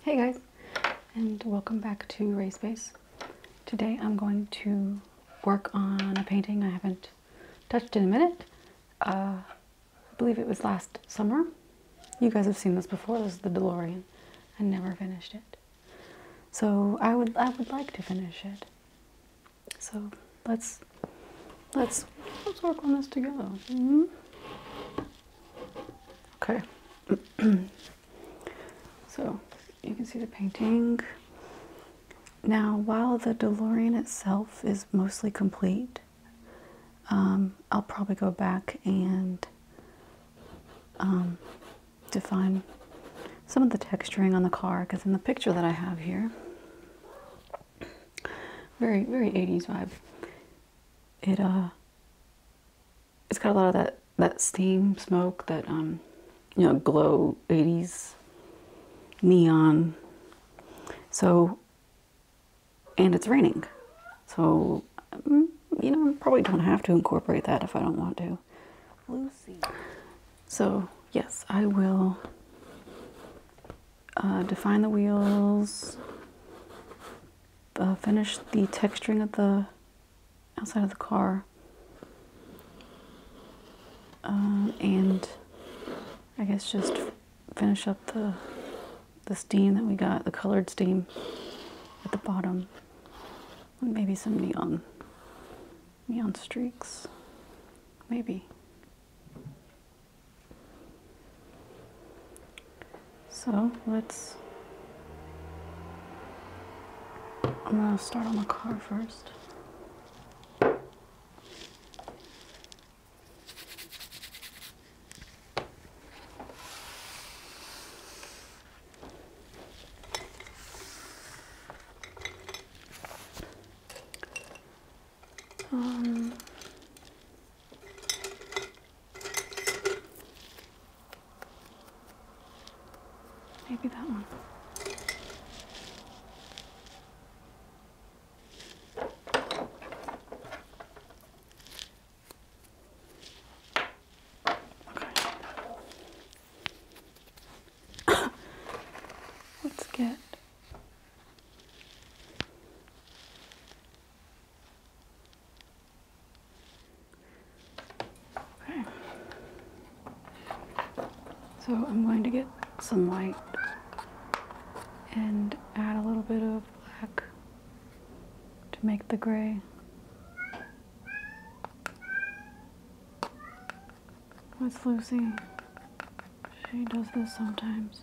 Hey guys, and welcome back to Ray Space. Today I'm going to work on a painting I haven't touched in a minute. Uh, I believe it was last summer. You guys have seen this before. This is the DeLorean. I never finished it. So I would, I would like to finish it. So let's let's let's work on this together. Mm-hmm. Okay. so you can see the painting. Now, while the DeLorean itself is mostly complete, um, I'll probably go back and um, define some of the texturing on the car because in the picture that I have here, very, very 80s vibe. It, uh, it's got a lot of that, that steam smoke, that, um, you know, glow 80s neon. So, and it's raining. So, mm, you know, probably don't have to incorporate that if I don't want to. Lucy. So, yes, I will uh, define the wheels, uh, finish the texturing of the outside of the car, um, and I guess just finish up the the steam that we got, the colored steam at the bottom, and maybe some neon neon streaks, maybe. So let's, I'm gonna start on the car first. Um, maybe that one. Okay. Let's get okay. So I'm going to get some light and add a little bit of black to make the gray with Lucy. She does this sometimes.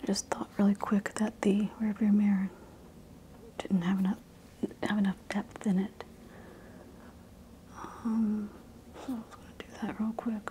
I just thought really quick that the rearview mirror didn't have enough have enough depth in it. Um, so I was going to do that real quick.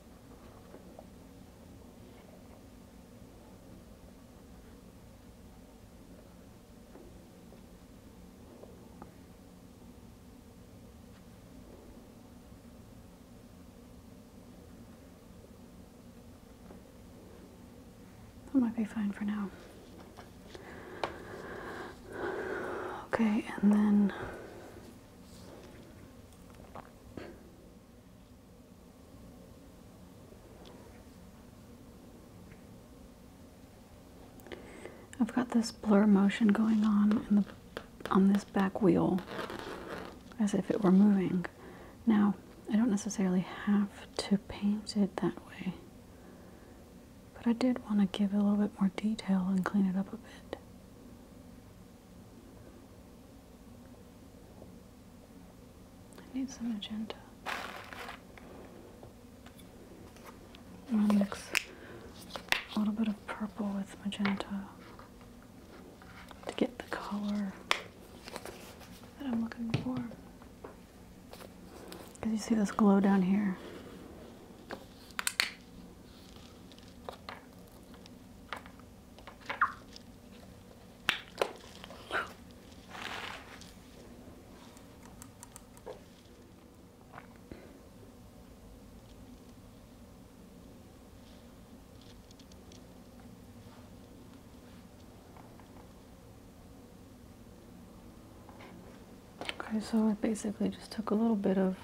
That might be fine for now. Okay, and then I've got this blur motion going on in the, on this back wheel as if it were moving. Now, I don't necessarily have to paint it that way, but I did want to give it a little bit more detail and clean it up a bit. I need some magenta. I'm gonna mix a little bit of purple with magenta to get the color that I'm looking for. Because you see this glow down here. Okay, so I basically just took a little bit of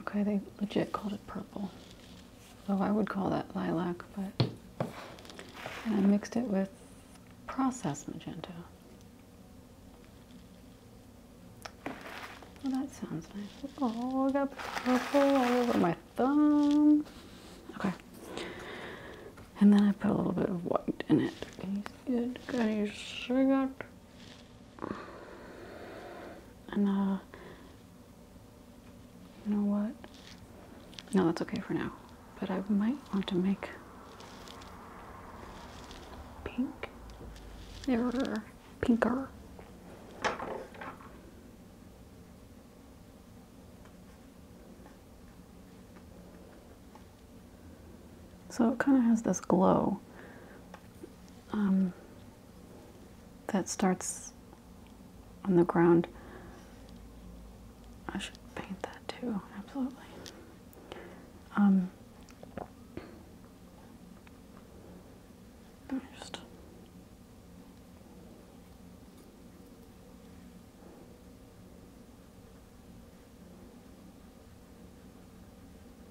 Okay, they legit called it purple. Though I would call that lilac, but. And I mixed it with processed magenta. Well, that sounds nice. Oh, I got purple all over my thumb. Okay. And then I put a little bit of white in it. And, uh, you know what? No, that's okay for now. But I might want to make pink. Error. Pinker. So it kind of has this glow um, that starts on the ground. I should paint that too, absolutely. Um, just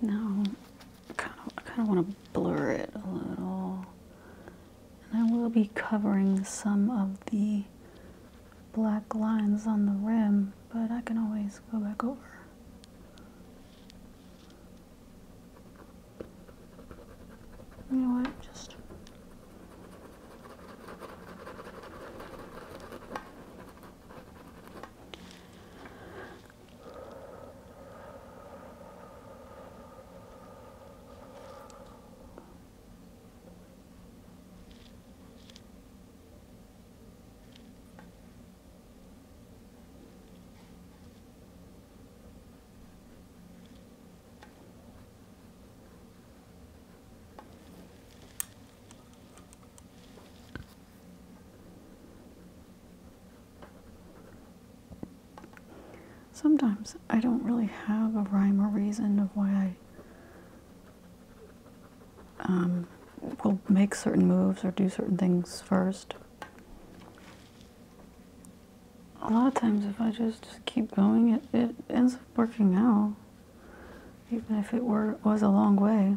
now, kind of, I kind of want to blur it a little, and I will be covering some of the black lines on the rim, but I can always go back over. You know what? Just. Sometimes I don't really have a rhyme or reason of why I um, will make certain moves or do certain things first a lot of times if I just, keep going, it, it ends up working out, even if it were was a long way.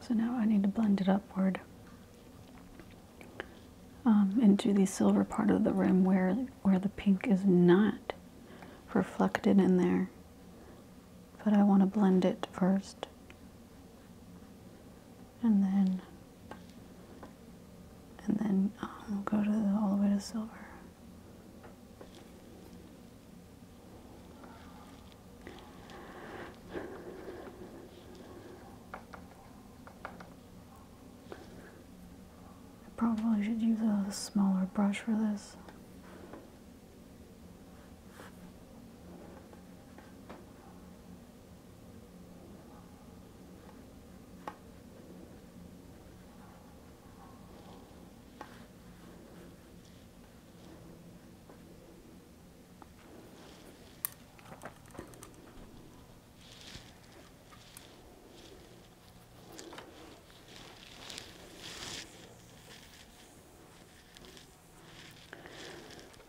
So now I need to blend it upward um, into the silver part of the rim where, where the pink is not reflected in there. But I want to blend it first and then and then um, go to all the way to silver. I probably should use a smaller brush for this.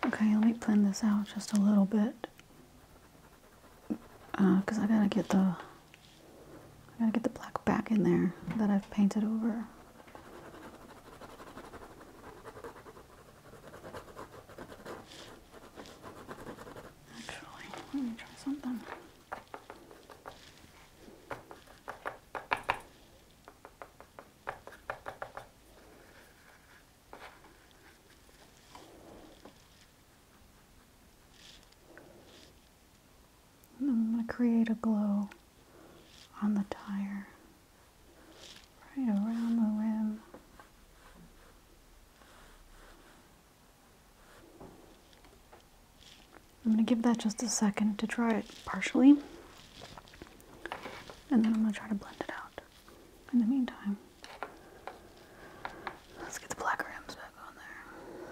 Okay, let me blend this out just a little bit because uh, I gotta get the gotta get the black back in there that I've painted over. Actually, let me try something. I'm going to create a glow on the tire right around the rim. I'm going to give that just a second to dry it partially and then I'm going to try to blend it out in the meantime. Let's get the black rims back on there.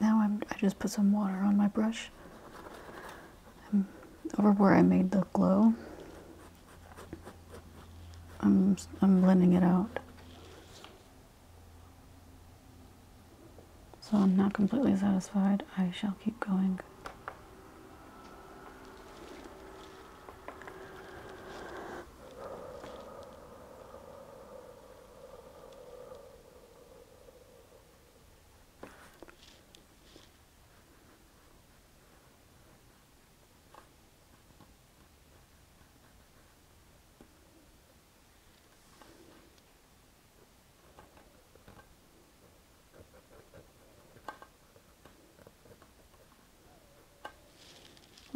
Now i just put some water on my brush over where I made the glow. I'm, I'm blending it out. So I'm not completely satisfied. I shall keep going.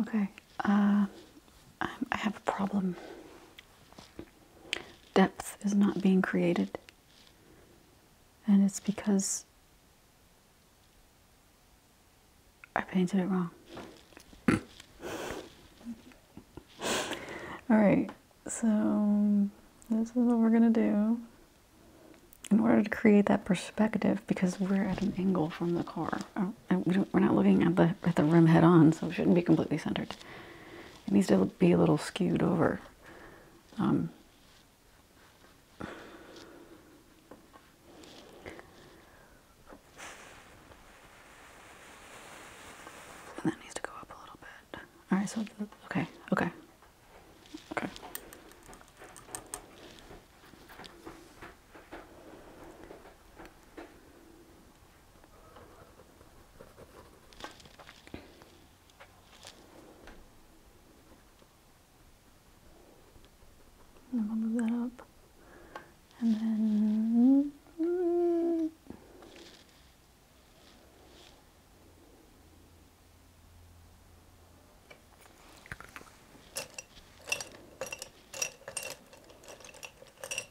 Okay, uh, I have a problem depth is not being created. And it's because I painted it wrong. Alright, so this is what we're gonna do. In order to create that perspective, because we're at an angle from the car, oh, we're not looking at the, at the rim head on, so it shouldn't be completely centered. It needs to be a little skewed over. Um, and that needs to go up a little bit. All right, so, okay, okay, okay. I'm gonna move that up and then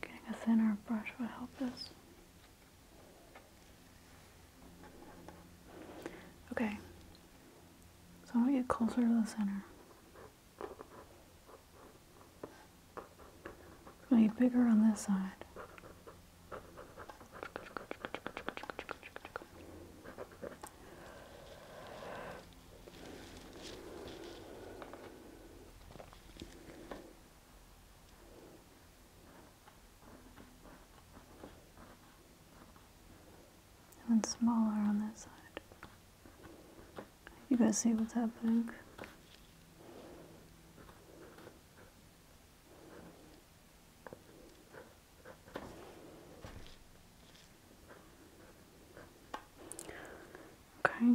Getting a thinner brush would help this. Okay, so I'm gonna get closer to the center. It's going bigger on this side. One smaller on that side. You guys see what's happening? Okay,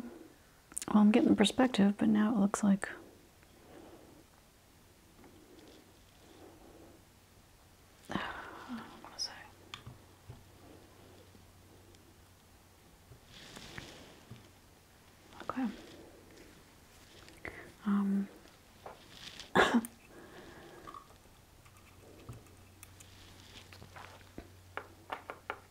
well, I'm getting the perspective, but now it looks like Okay. Um.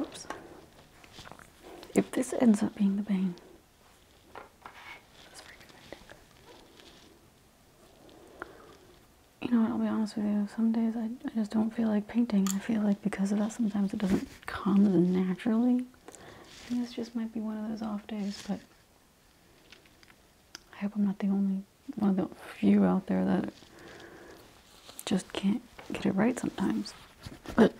Oops. If this ends up being the bane, you know what, I'll be honest with you, some days I, just don't feel like painting. I feel like because of that sometimes it doesn't come naturally. this just might be one of those off days, but I hope I'm not the only one of the few out there that just can't get it right sometimes. But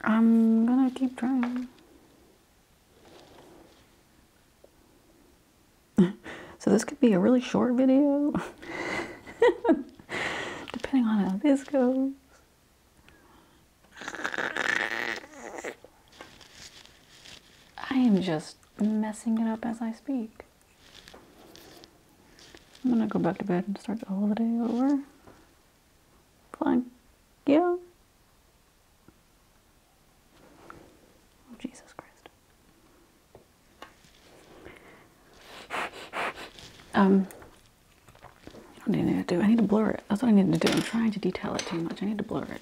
I'm gonna keep trying so this could be a really short video, depending on how this goes. I am just messing it up as I speak. I'm gonna go back to bed and start the holiday over. Fine. Yeah. Oh, Jesus Christ. Um, I don't need to do. I need to blur it. That's what I need to do. I'm trying to detail it too much. I need to blur it.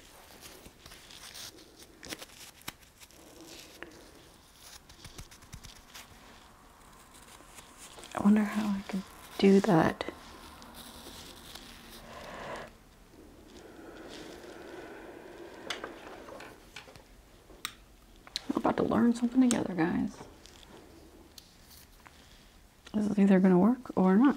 I wonder how I could do that I'm about to learn something together, guys. This is either going to work or not.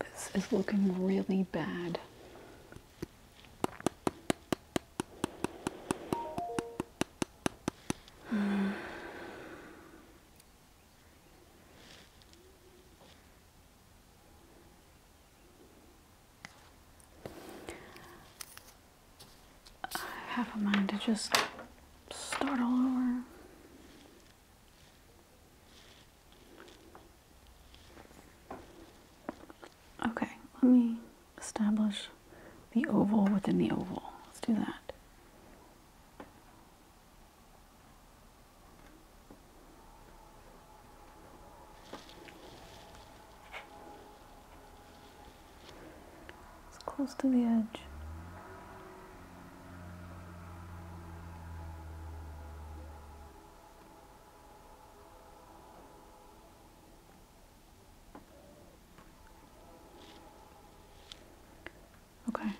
This is looking really bad. I have a mind to just start all over. Okay, let me establish the oval within the oval. Let's do that. It's close to the edge. Okay.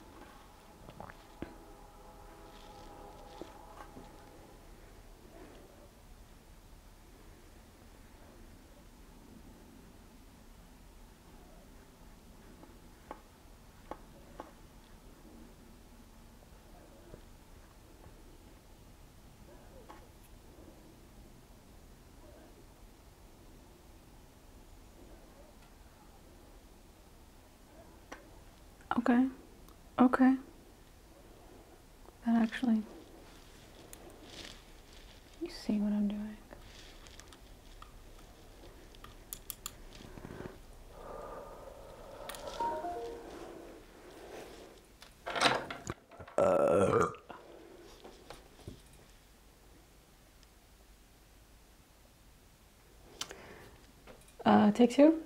Okay. Okay. That actually you see what I'm doing. Uh. Uh, take two.